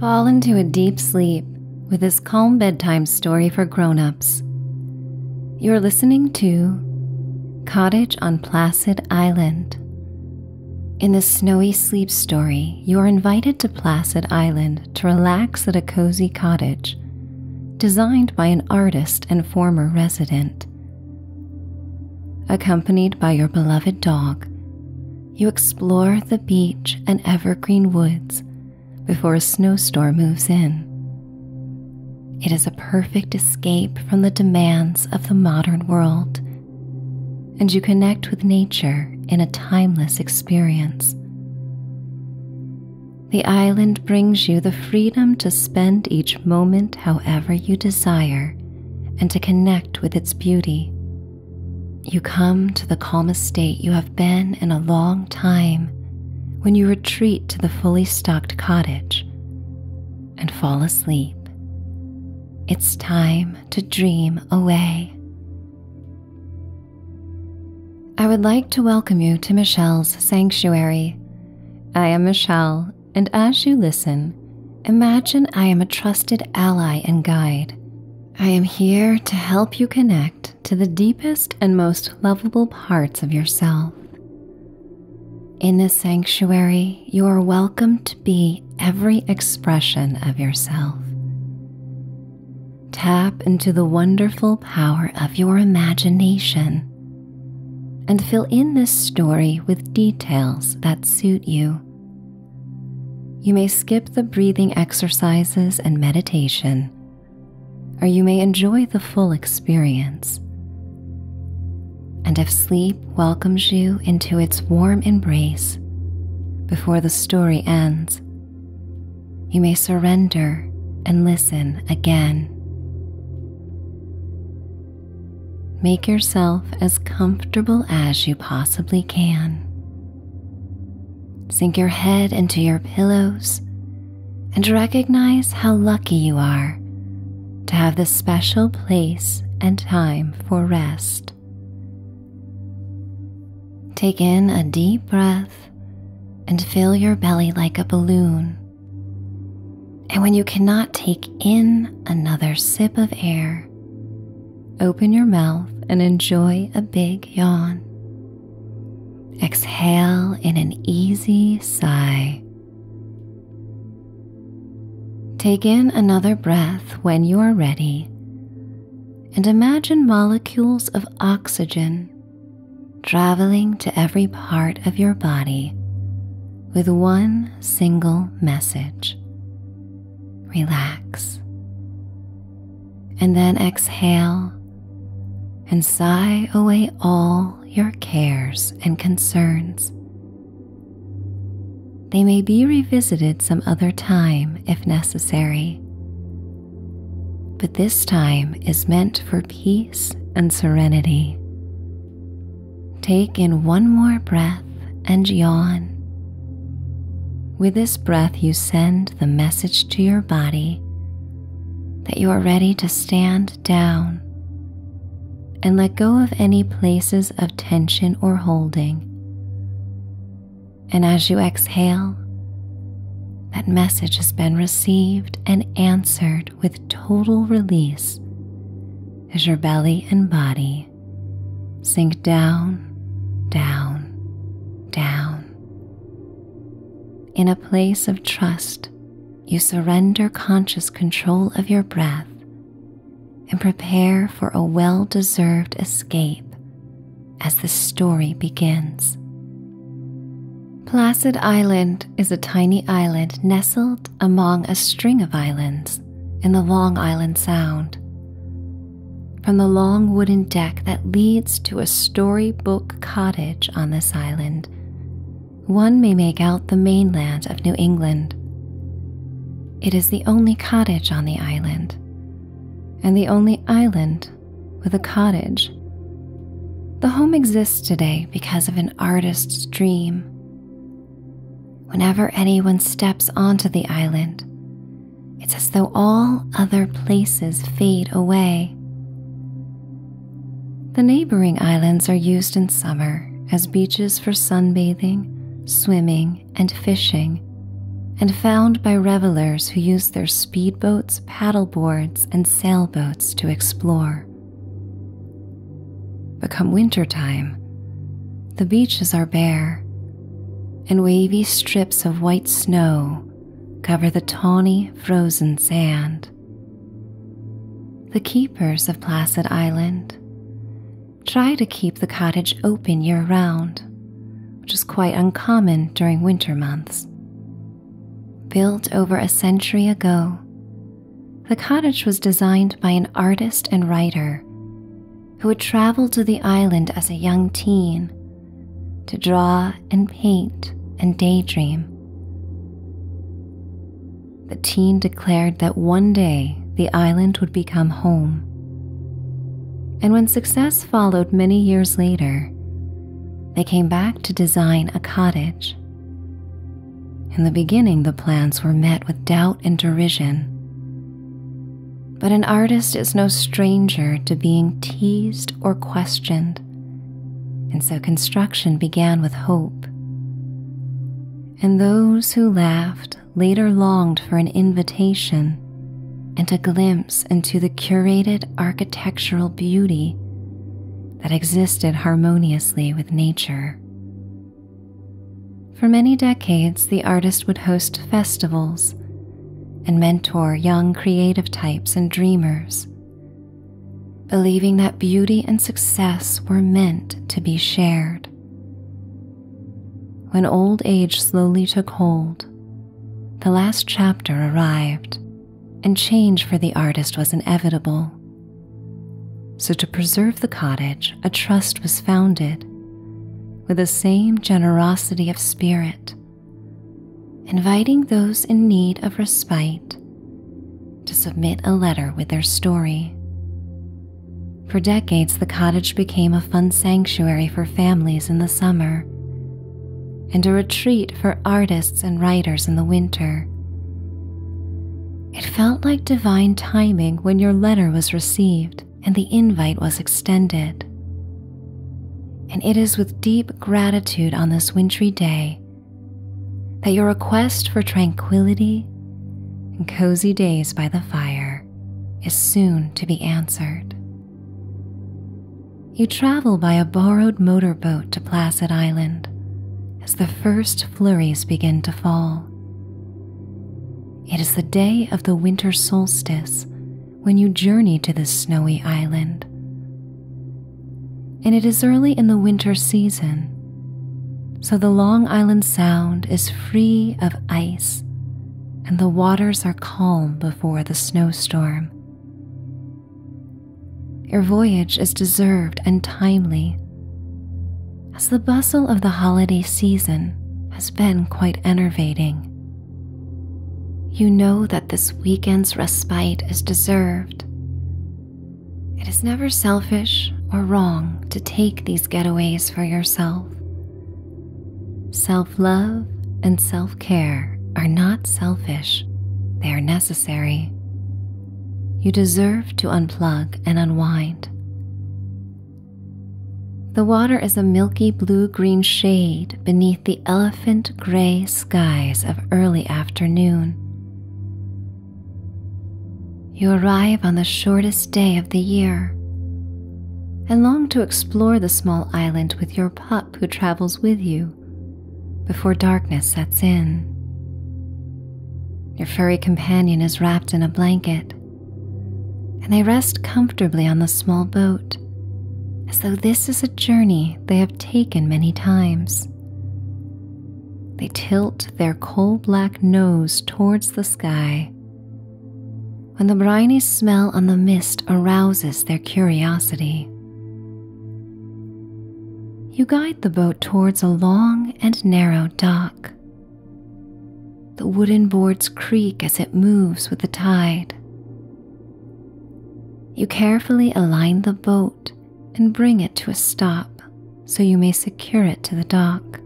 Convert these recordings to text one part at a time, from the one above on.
Fall into a deep sleep with this calm bedtime story for grown-ups. You're listening to Cottage on Placid Island. In this snowy sleep story, you're invited to Placid Island to relax at a cozy cottage designed by an artist and former resident. Accompanied by your beloved dog, you explore the beach and evergreen woods before a snowstorm moves in. It is a perfect escape from the demands of the modern world, and you connect with nature in a timeless experience. The island brings you the freedom to spend each moment however you desire and to connect with its beauty. You come to the calmest state you have been in a long time when you retreat to the fully stocked cottage and fall asleep. It's time to dream away. I would like to welcome you to Michelle's Sanctuary. I am Michelle, and as you listen, imagine I am a trusted ally and guide. I am here to help you connect to the deepest and most lovable parts of yourself. In this sanctuary, you are welcome to be every expression of yourself. Tap into the wonderful power of your imagination and fill in this story with details that suit you. You may skip the breathing exercises and meditation, or you may enjoy the full experience. And if sleep welcomes you into its warm embrace before the story ends, you may surrender and listen again. Make yourself as comfortable as you possibly can. Sink your head into your pillows and recognize how lucky you are to have this special place and time for rest. Take in a deep breath and fill your belly like a balloon and when you cannot take in another sip of air, open your mouth and enjoy a big yawn. Exhale in an easy sigh. Take in another breath when you are ready and imagine molecules of oxygen traveling to every part of your body with one single message relax. And then exhale and sigh away all your cares and concerns. They may be revisited some other time if necessary. But this time is meant for peace and serenity. Take in one more breath and yawn. With this breath, you send the message to your body that you are ready to stand down and let go of any places of tension or holding. And as you exhale, that message has been received and answered with total release as your belly and body sink down, down, down. In a place of trust, you surrender conscious control of your breath and prepare for a well deserved escape as the story begins. Placid Island is a tiny island nestled among a string of islands in the Long Island Sound. From the long wooden deck that leads to a storybook cottage on this island, one may make out the mainland of New England. It is the only cottage on the island, and the only island with a cottage. The home exists today because of an artist's dream Whenever anyone steps onto the island, it's as though all other places fade away. The neighboring islands are used in summer as beaches for sunbathing, swimming, and fishing, and found by revelers who use their speedboats, paddleboards, and sailboats to explore. But come winter time, the beaches are bare, and wavy strips of white snow cover the tawny, frozen sand. The keepers of Placid Island try to keep the cottage open year round, which is quite uncommon during winter months. Built over a century ago, the cottage was designed by an artist and writer who had traveled to the island as a young teen to draw and paint and daydream. The teen declared that one day the island would become home. And when success followed many years later, they came back to design a cottage. In the beginning, the plans were met with doubt and derision. But an artist is no stranger to being teased or questioned, and so construction began with hope. And those who laughed later longed for an invitation and a glimpse into the curated architectural beauty that existed harmoniously with nature. For many decades, the artist would host festivals and mentor young creative types and dreamers, believing that beauty and success were meant to be shared. When old age slowly took hold, the last chapter arrived, and change for the artist was inevitable. So, to preserve the cottage, a trust was founded with the same generosity of spirit, inviting those in need of respite to submit a letter with their story. For decades, the cottage became a fun sanctuary for families in the summer and a retreat for artists and writers in the winter. It felt like divine timing when your letter was received and the invite was extended. And it is with deep gratitude on this wintry day that your request for tranquility and cozy days by the fire is soon to be answered. You travel by a borrowed motor boat to Placid Island as the first flurries begin to fall. It is the day of the winter solstice when you journey to this snowy island. And it is early in the winter season, so the Long Island Sound is free of ice and the waters are calm before the snowstorm. Your voyage is deserved and timely, as the bustle of the holiday season has been quite enervating. You know that this weekend's respite is deserved. It is never selfish or wrong to take these getaways for yourself. Self love and self care are not selfish, they are necessary. You deserve to unplug and unwind. The water is a milky blue green shade beneath the elephant gray skies of early afternoon. You arrive on the shortest day of the year and long to explore the small island with your pup who travels with you before darkness sets in. Your furry companion is wrapped in a blanket, and they rest comfortably on the small boat as though this is a journey they have taken many times. They tilt their coal black nose towards the sky when the briny smell on the mist arouses their curiosity. You guide the boat towards a long and narrow dock. The wooden boards creak as it moves with the tide. You carefully align the boat and bring it to a stop so you may secure it to the dock.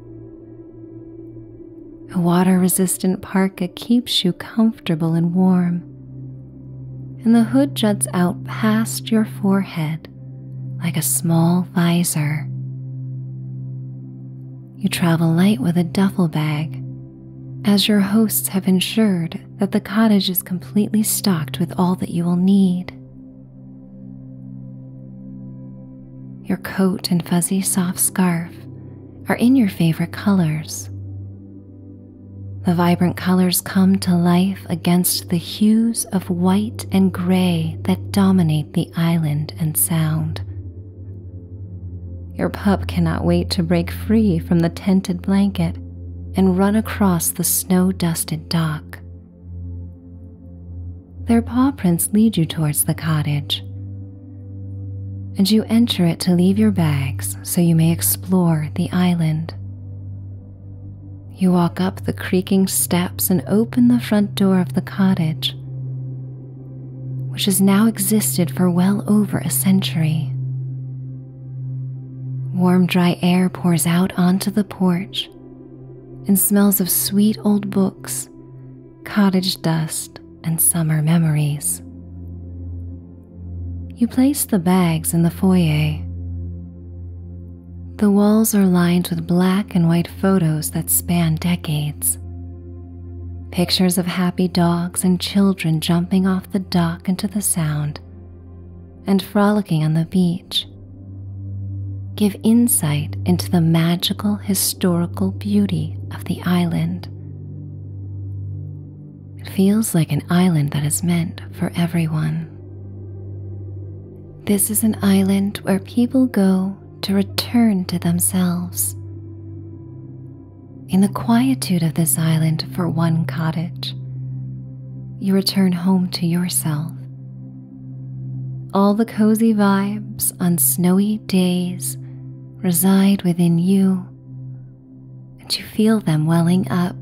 A water resistant parka keeps you comfortable and warm, and the hood juts out past your forehead like a small visor. You travel light with a duffel bag, as your hosts have ensured that the cottage is completely stocked with all that you will need. Your coat and fuzzy soft scarf are in your favorite colors. The vibrant colors come to life against the hues of white and gray that dominate the island and sound. Your pup cannot wait to break free from the tented blanket and run across the snow dusted dock. Their paw prints lead you towards the cottage, and you enter it to leave your bags so you may explore the island. You walk up the creaking steps and open the front door of the cottage, which has now existed for well over a century. Warm, dry air pours out onto the porch and smells of sweet old books, cottage dust, and summer memories. You place the bags in the foyer. The walls are lined with black and white photos that span decades. Pictures of happy dogs and children jumping off the dock into the sound and frolicking on the beach give insight into the magical historical beauty of the island. It feels like an island that is meant for everyone. This is an island where people go to return to themselves. In the quietude of this island for one cottage, you return home to yourself. All the cozy vibes on snowy days reside within you, and you feel them welling up.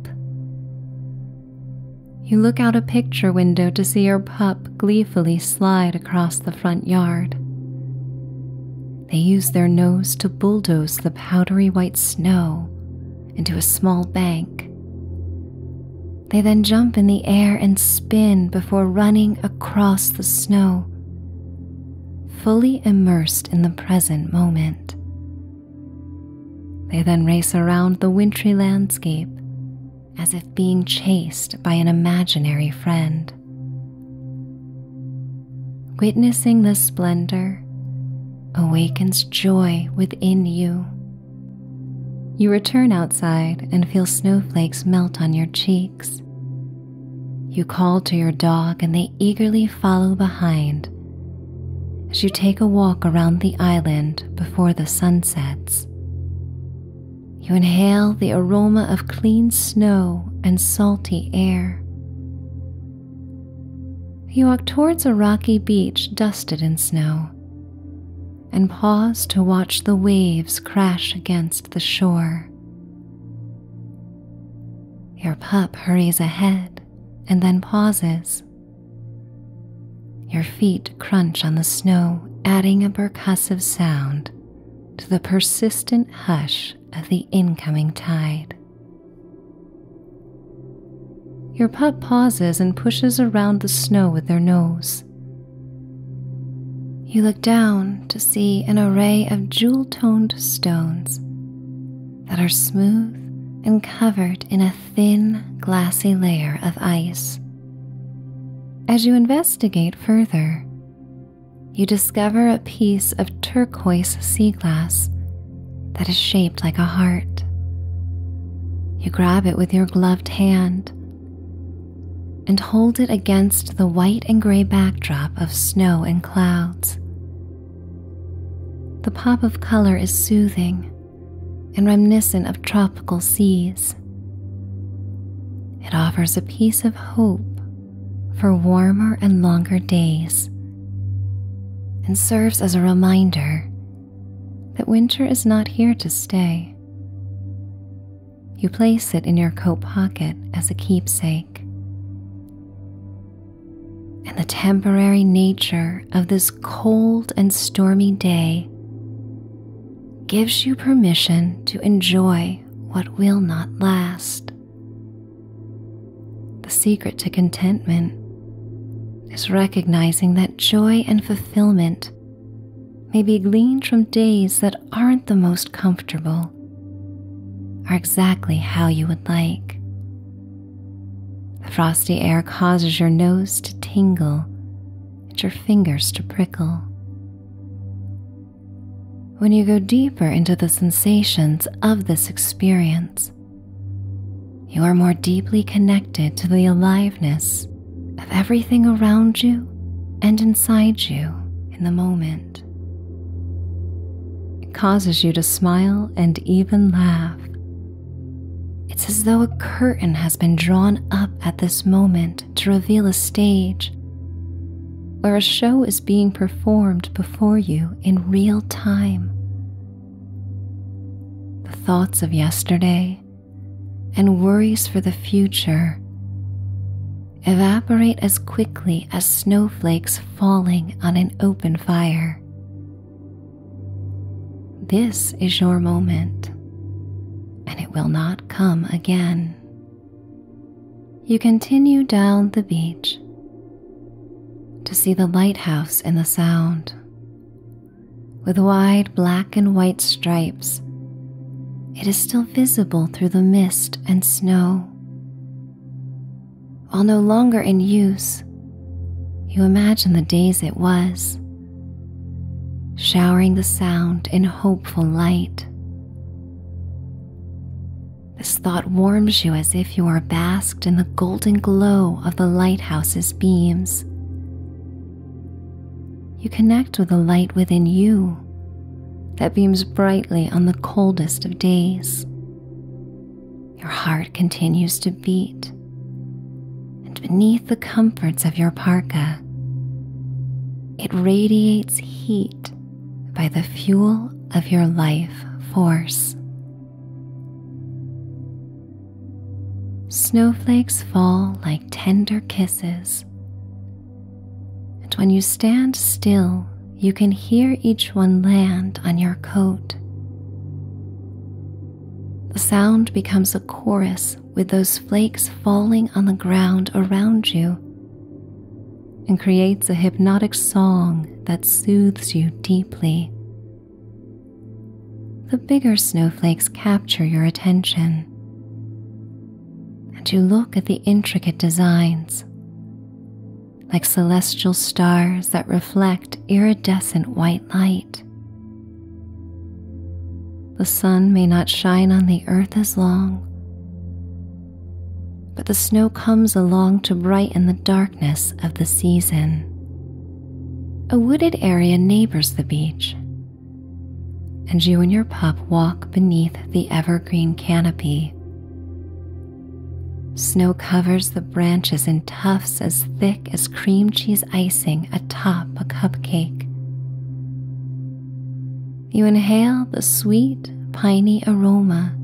You look out a picture window to see your pup gleefully slide across the front yard. They use their nose to bulldoze the powdery white snow into a small bank. They then jump in the air and spin before running across the snow, fully immersed in the present moment. They then race around the wintry landscape as if being chased by an imaginary friend. Witnessing the splendor awakens joy within you. You return outside and feel snowflakes melt on your cheeks. You call to your dog and they eagerly follow behind as you take a walk around the island before the sun sets. You inhale the aroma of clean snow and salty air. You walk towards a rocky beach dusted in snow and pause to watch the waves crash against the shore. Your pup hurries ahead and then pauses your feet crunch on the snow, adding a percussive sound to the persistent hush of the incoming tide. Your pup pauses and pushes around the snow with their nose. You look down to see an array of jewel toned stones that are smooth and covered in a thin, glassy layer of ice. As you investigate further, you discover a piece of turquoise sea glass that is shaped like a heart. You grab it with your gloved hand and hold it against the white and gray backdrop of snow and clouds. The pop of color is soothing and reminiscent of tropical seas. It offers a piece of hope for warmer and longer days and serves as a reminder that winter is not here to stay. You place it in your coat pocket as a keepsake. And the temporary nature of this this cold and stormy day gives you permission to enjoy what will not last. The secret to contentment is recognizing that joy and fulfillment may be gleaned from days that aren't the most comfortable, are exactly how you would like. The frosty air causes your nose to tingle and your fingers to prickle. When you go deeper into the sensations of this experience, you are more deeply connected to the aliveness of everything around you and inside you in the moment. It causes you to smile and even laugh it's as though a curtain has been drawn up at this moment to reveal a stage where a show is being performed before you in real time. The thoughts of yesterday and worries for the future evaporate as quickly as snowflakes falling on an open fire. This is your moment, and it will not come again. You continue down the beach to see the lighthouse in the sound, with wide black and white stripes. It is still visible through the mist and snow. While no longer in use, you imagine the days it was, showering the sound in hopeful light. This thought warms you as if you are basked in the golden glow of the lighthouse's beams. You connect with the light within you that beams brightly on the coldest of days. Your heart continues to beat, and beneath the comforts of your parka, it radiates heat by the fuel of your life force. Snowflakes fall like tender kisses, and when you stand still, you can hear each one land on your coat. The sound becomes a chorus with those flakes falling on the ground around you and creates a hypnotic song that soothes you deeply. The bigger snowflakes capture your attention, and you look at the intricate designs, like celestial stars that reflect iridescent white light. The sun may not shine on the earth as long, but the snow comes along to brighten the darkness of the season. A wooded area neighbors the beach, and you and your pup walk beneath the evergreen canopy. Snow covers the branches in tufts as thick as cream cheese icing atop a cupcake. You inhale the sweet, piney aroma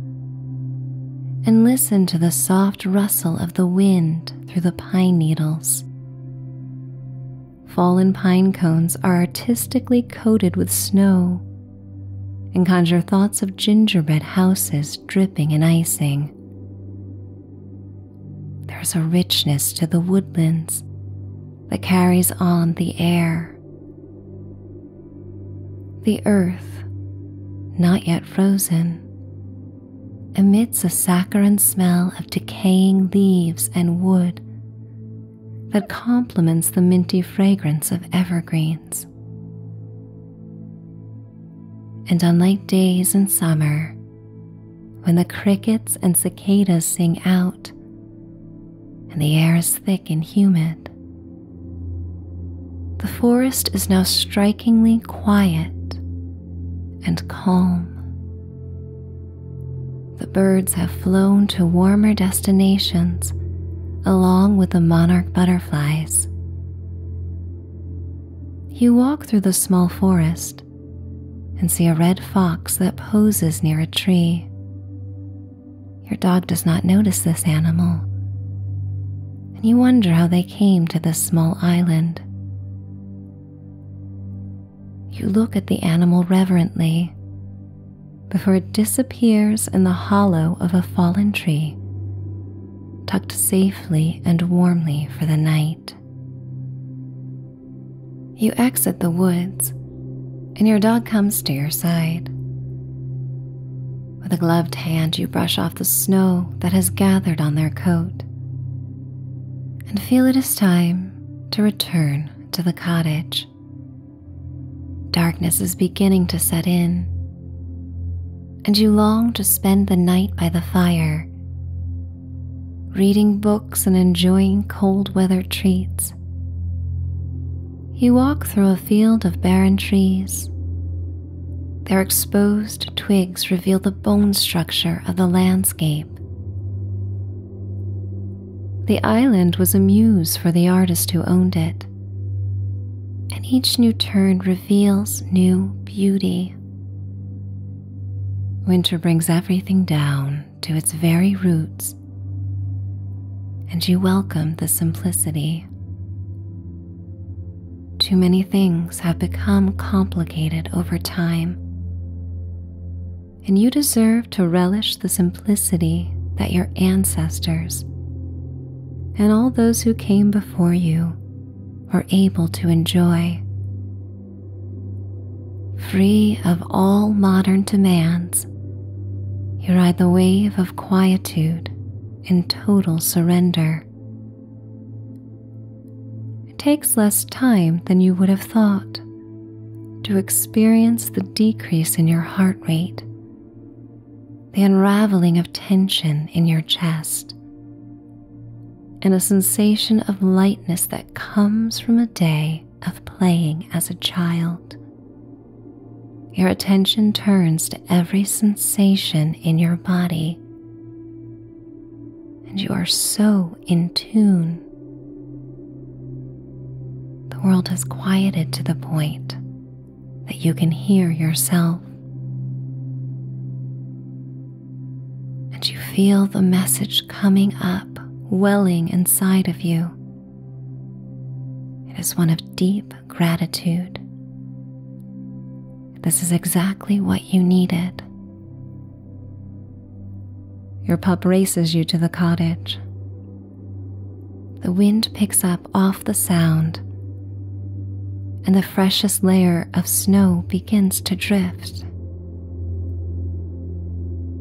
and listen to the soft rustle of the wind through the pine needles. Fallen pine cones are artistically coated with snow and conjure thoughts of gingerbread houses dripping in icing. There's a richness to the woodlands that carries on the air. The earth, not yet frozen, emits a saccharine smell of decaying leaves and wood that complements the minty fragrance of evergreens. And on late days in summer, when the crickets and cicadas sing out and the air is thick and humid, the forest is now strikingly quiet and calm. The birds have flown to warmer destinations along with the monarch butterflies, you walk through the small forest and see a red fox that poses near a tree. Your dog does not notice this animal, and you wonder how they came to this small island. You look at the animal reverently before it disappears in the hollow of a fallen tree tucked safely and warmly for the night. You exit the woods, and your dog comes to your side. With a gloved hand, you brush off the snow that has gathered on their coat and feel it is time to return to the cottage. Darkness is beginning to set in, and you long to spend the night by the fire, reading books and enjoying cold weather treats. You walk through a field of barren trees. Their exposed twigs reveal the bone structure of the landscape. The island was a muse for the artist who owned it, and each new turn reveals new beauty. Winter brings everything down to its very roots, and you welcome the simplicity. Too many things have become complicated over time, and you deserve to relish the simplicity that your ancestors and all those who came before you are able to enjoy. Free of all modern demands, you ride the wave of quietude and total surrender. It takes less time than you would have thought to experience the decrease in your heart rate, the unraveling of tension in your chest, and a sensation of lightness that comes from a day of playing as a child. Your attention turns to every sensation in your body, and you are so in tune. The world has quieted to the point that you can hear yourself and you feel the message coming up, welling inside of you. It is one of deep gratitude. This is exactly what you needed. Your pup races you to the cottage. The wind picks up off the sound, and the freshest layer of snow begins to drift.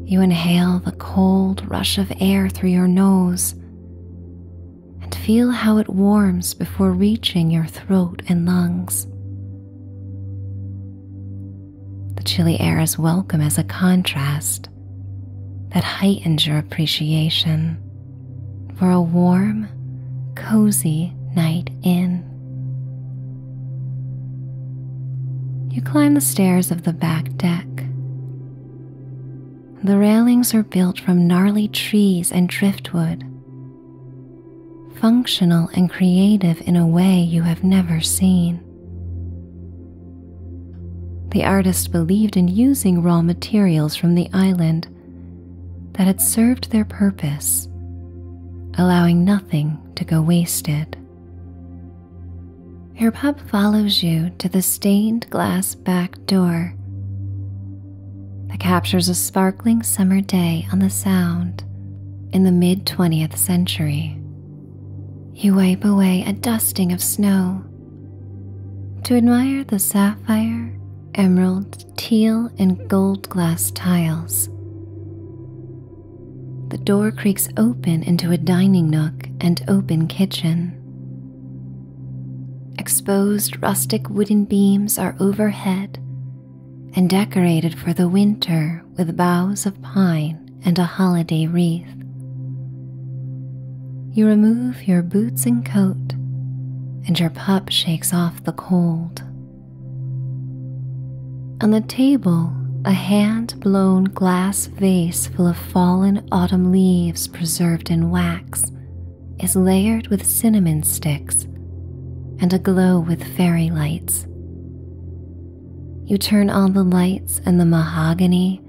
You inhale the cold rush of air through your nose and feel how it warms before reaching your throat and lungs. The chilly air is welcome as a contrast that heightens your appreciation for a warm, cozy night in. You climb the stairs of the back deck. The railings are built from gnarly trees and driftwood, functional and creative in a way you have never seen. The artist believed in using raw materials from the island that had served their purpose, allowing nothing to go wasted. Your pup follows you to the stained glass back door that captures a sparkling summer day on the Sound in the mid 20th century. You wipe away a dusting of snow to admire the sapphire, emeralds teal and gold glass tiles. The door creaks open into a dining nook and open kitchen. Exposed rustic wooden beams are overhead and decorated for the winter with boughs of pine and a holiday wreath. You remove your boots and coat, and your pup shakes off the cold. On the table, a hand blown glass vase full of fallen autumn leaves preserved in wax is layered with cinnamon sticks and aglow with fairy lights. You turn on the lights, and the mahogany,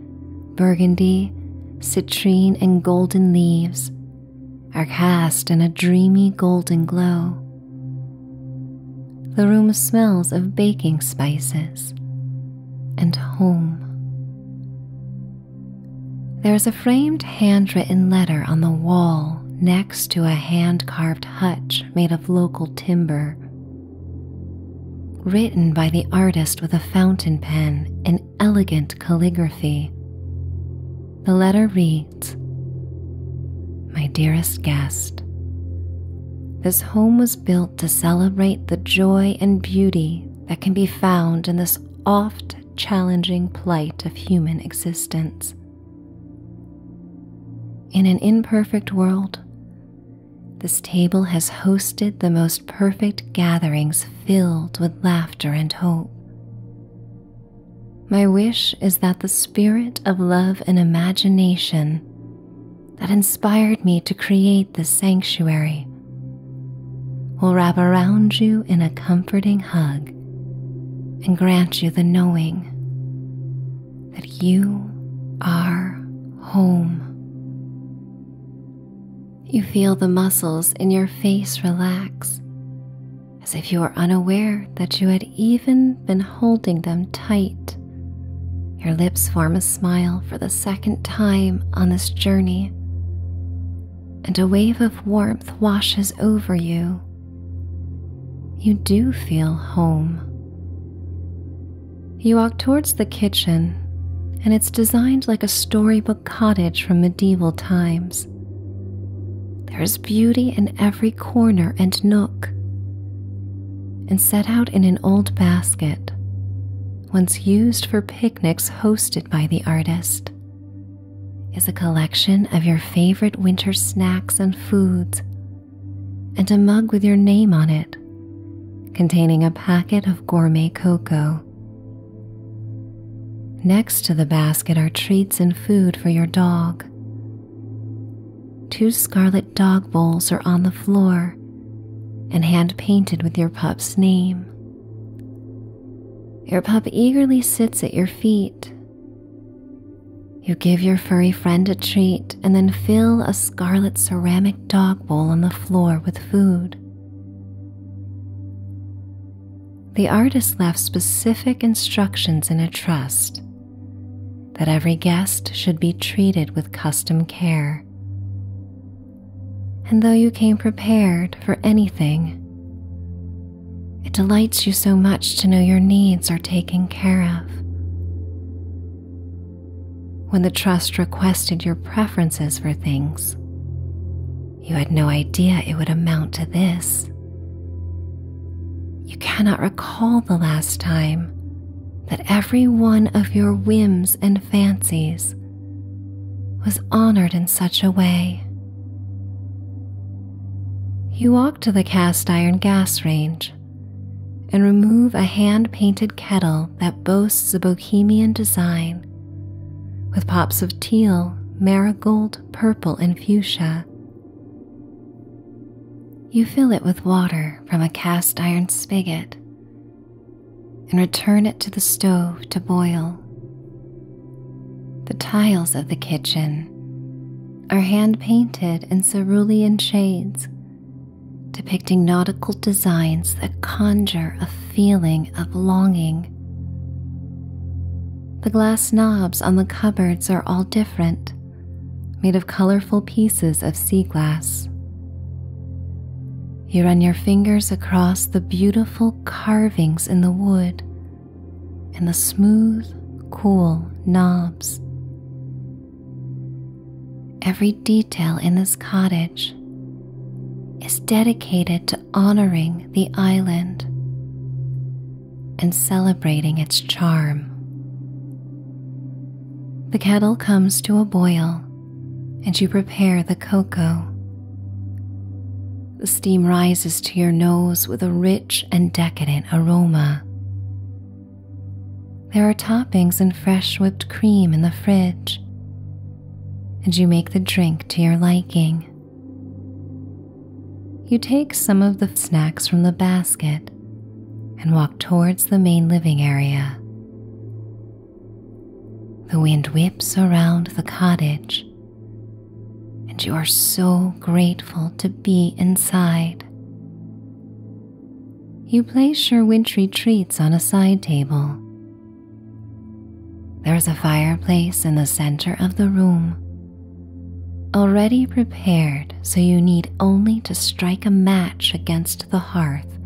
burgundy, citrine, and golden leaves are cast in a dreamy golden glow. The room smells of baking spices and home. There is a framed handwritten letter on the wall next to a hand carved hutch made of local timber. Written by the artist with a fountain pen in elegant calligraphy. The letter reads My dearest guest, this home was built to celebrate the joy and beauty that can be found in this oft challenging plight of human existence. In an imperfect world, this table has hosted the most perfect gatherings filled with laughter and hope. My wish is that the spirit of love and imagination that inspired me to create this sanctuary will wrap around you in a comforting hug and grant you the knowing that you are home. You feel the muscles in your face relax as if you are unaware that you had even been holding them tight. Your lips form a smile for the second time on this journey, and a wave of warmth washes over you. You do feel home. You walk towards the kitchen, and it's designed like a storybook cottage from medieval times. There is beauty in every corner and nook, and set out in an old basket, once used for picnics hosted by the artist, is a collection of your favorite winter snacks and foods, and a mug with your name on it, containing a packet of gourmet cocoa. Next to the basket are treats and food for your dog. Two scarlet dog bowls are on the floor and hand painted with your pup's name. Your pup eagerly sits at your feet. You give your furry friend a treat and then fill a scarlet ceramic dog bowl on the floor with food the artist left specific instructions in a trust that every guest should be treated with custom care. And though you came prepared for anything, it delights you so much to know your needs are taken care of. When the trust requested your preferences for things, you had no idea it would amount to this. You cannot recall the last time that every one of your whims and fancies was honored in such a way. You walk to the cast iron gas range and remove a hand painted kettle that boasts a bohemian design with pops of teal, marigold, purple, and fuchsia. You fill it with water from a cast iron spigot and return it to the stove to boil. The tiles of the kitchen are hand painted in cerulean shades, depicting nautical designs that conjure a feeling of longing the glass knobs on the cupboards are all different, made of colorful pieces of sea glass. You run your fingers across the beautiful carvings in the wood and the smooth, cool knobs. Every detail in this cottage is dedicated to honoring the island and celebrating its charm. The kettle comes to a boil and you prepare the cocoa. The steam rises to your nose with a rich and decadent aroma. There are toppings and fresh whipped cream in the fridge, and you make the drink to your liking. You take some of the snacks from the basket and walk towards the main living area. The wind whips around the cottage, and you are so grateful to be inside. You place your wintry treats on a side table there is a fireplace in the center of the room, already prepared so you need only to strike a match against the hearth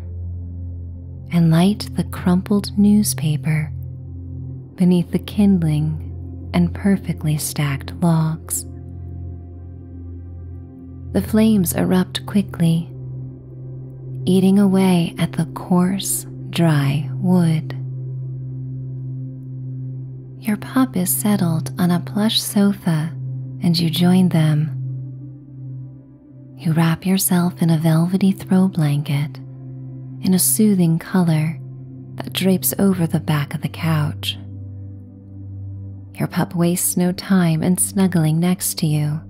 and light the crumpled newspaper beneath the kindling and perfectly stacked logs. The flames erupt quickly, eating away at the coarse dry wood. Your pup is settled on a plush sofa and you join them. You wrap yourself in a velvety throw blanket in a soothing color that drapes over the back of the couch. Your pup wastes no time in snuggling next to you.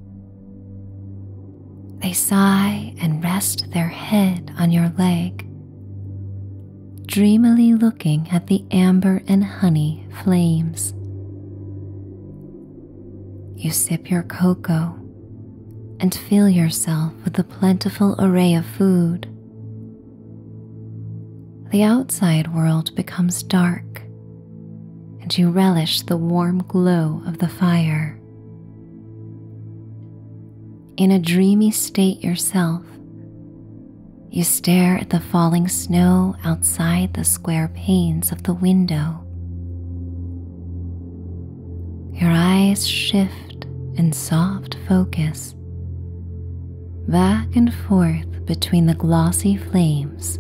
They sigh and rest their head on your leg, dreamily looking at the amber and honey flames. You sip your cocoa and fill yourself with the plentiful array of food. The outside world becomes dark, and you relish the warm glow of the fire in a dreamy state yourself, you stare at the falling snow outside the square panes of the window. Your eyes shift in soft focus back and forth between the glossy flames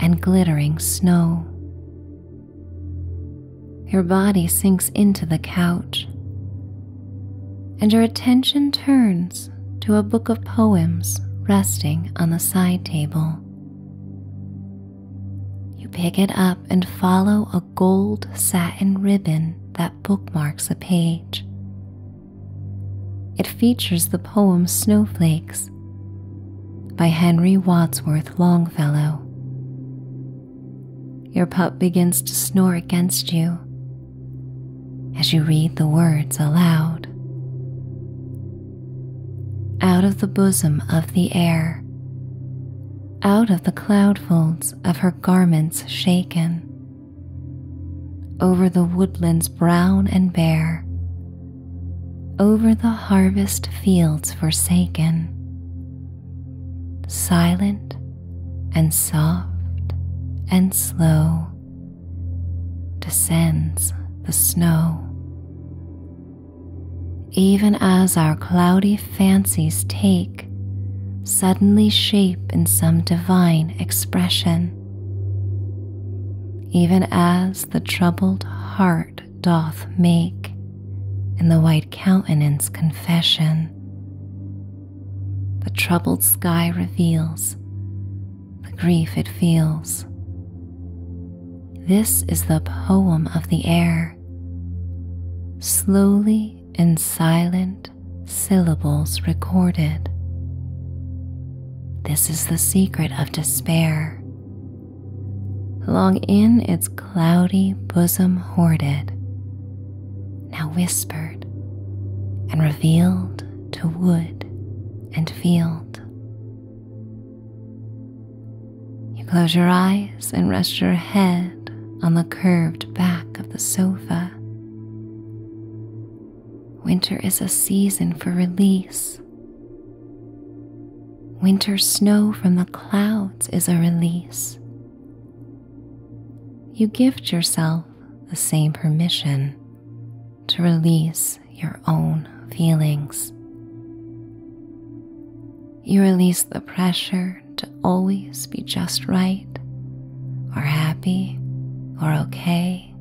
and glittering snow. Your body sinks into the couch, and your attention turns to a book of poems resting on the side table. You pick it up and follow a gold satin ribbon that bookmarks a page. It features the poem Snowflakes by Henry Wadsworth Longfellow, your pup begins to snore against you as you read the words aloud. Out of the bosom of the air, out of the cloud folds of her garments shaken, over the woodlands brown and bare, over the harvest fields forsaken, silent and soft and slow descends the snow. Even as our cloudy fancies take suddenly shape in some divine expression, even as the troubled heart doth make in the white countenance confession. The troubled sky reveals the grief it feels. This is the poem of the air, slowly in silent syllables recorded. This is the secret of despair, Long in its cloudy bosom hoarded, now whispered and revealed to wood and field. You close your eyes and rest your head on the curved back of the sofa. Winter is a season for release. Winter snow from the clouds is a release. You gift yourself the same permission to release your own feelings. You release the pressure to always be just right, or happy, or okay.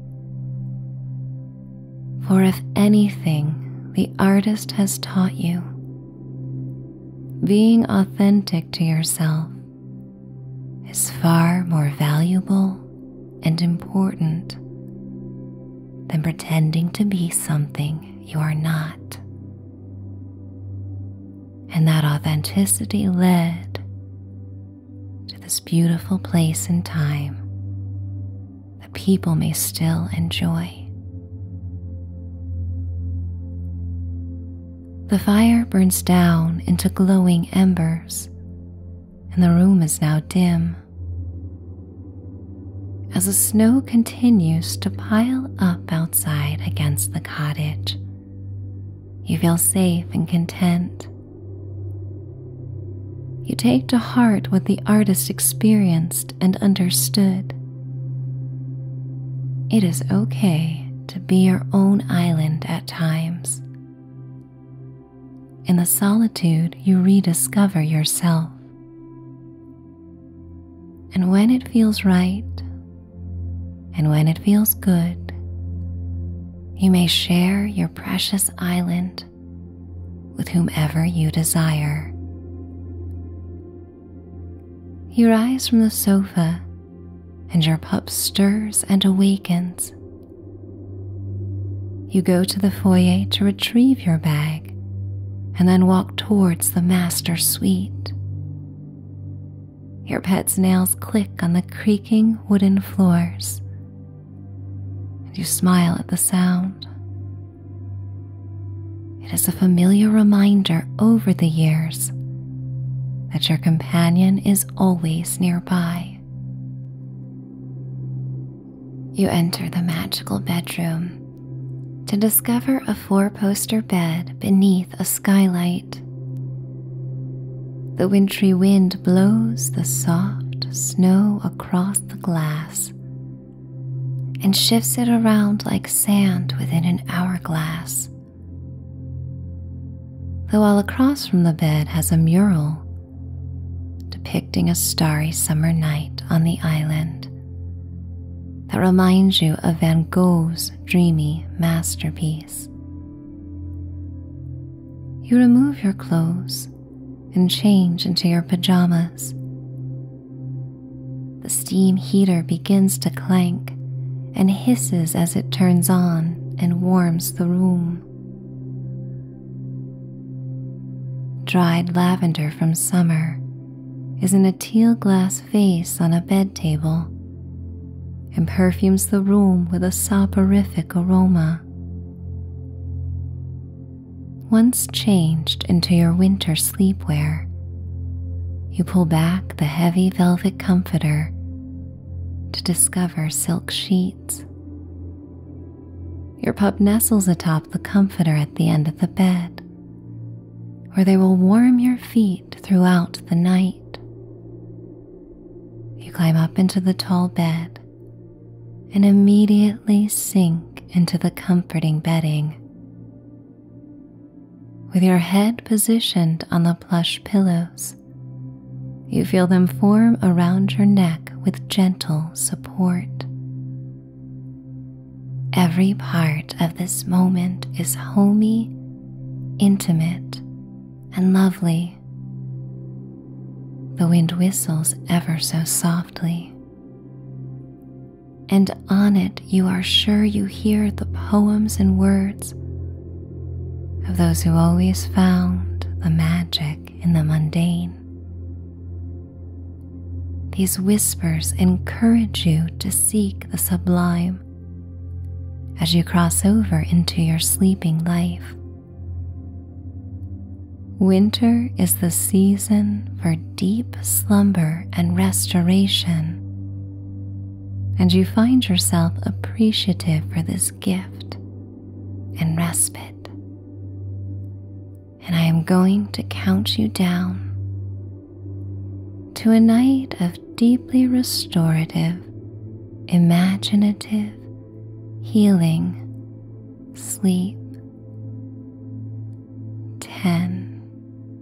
For if anything the artist has taught you being authentic to yourself is far more valuable and important than pretending to be something you are not. And that authenticity led to this beautiful place and time that people may still enjoy. The fire burns down into glowing embers, and the room is now dim. As the snow continues to pile up outside against the cottage, you feel safe and content. You take to heart what the artist experienced and understood. It is okay to be your own island at times. In the solitude, you rediscover yourself. And when it feels right, and when it feels good, you may share your precious island with whomever you desire. You rise from the sofa, and your pup stirs and awakens. You go to the foyer to retrieve your bag and then walk towards the master suite. Your pet's nails click on the creaking wooden floors, and you smile at the sound. It is a familiar reminder over the years that your companion is always nearby. You enter the magical bedroom to discover a four poster bed beneath a skylight. The wintry wind blows the soft snow across the glass and shifts it around like sand within an hourglass. The wall across from the bed has a mural depicting a starry summer night on the island that reminds you of Van Gogh's dreamy masterpiece. You remove your clothes and change into your pajamas the steam heater begins to clank and hisses as it turns on and warms the room. Dried lavender from summer is in a teal glass vase on a bed table and perfumes the room with a soporific aroma. Once changed into your winter sleepwear, you pull back the heavy velvet comforter to discover silk sheets. Your pup nestles atop the comforter at the end of the bed, where they will warm your feet throughout the night. You climb up into the tall bed and immediately sink into the comforting bedding, with your head positioned on the plush pillows, you feel them form around your neck with gentle support. Every part of this moment is homey, intimate, and lovely. The wind whistles ever so softly and on it you are sure you hear the poems and words of those who always found the magic in the mundane. These whispers encourage you to seek the sublime as you cross over into your sleeping life. Winter is the season for deep slumber and restoration, and you find yourself appreciative for this gift and respite. And I am going to count you down to a night of deeply restorative, imaginative, healing sleep. Ten,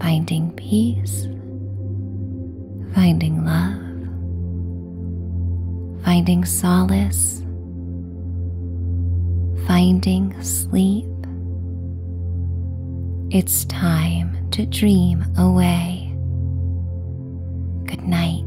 finding peace, finding love, finding solace, finding sleep. It's time to dream away. Good night.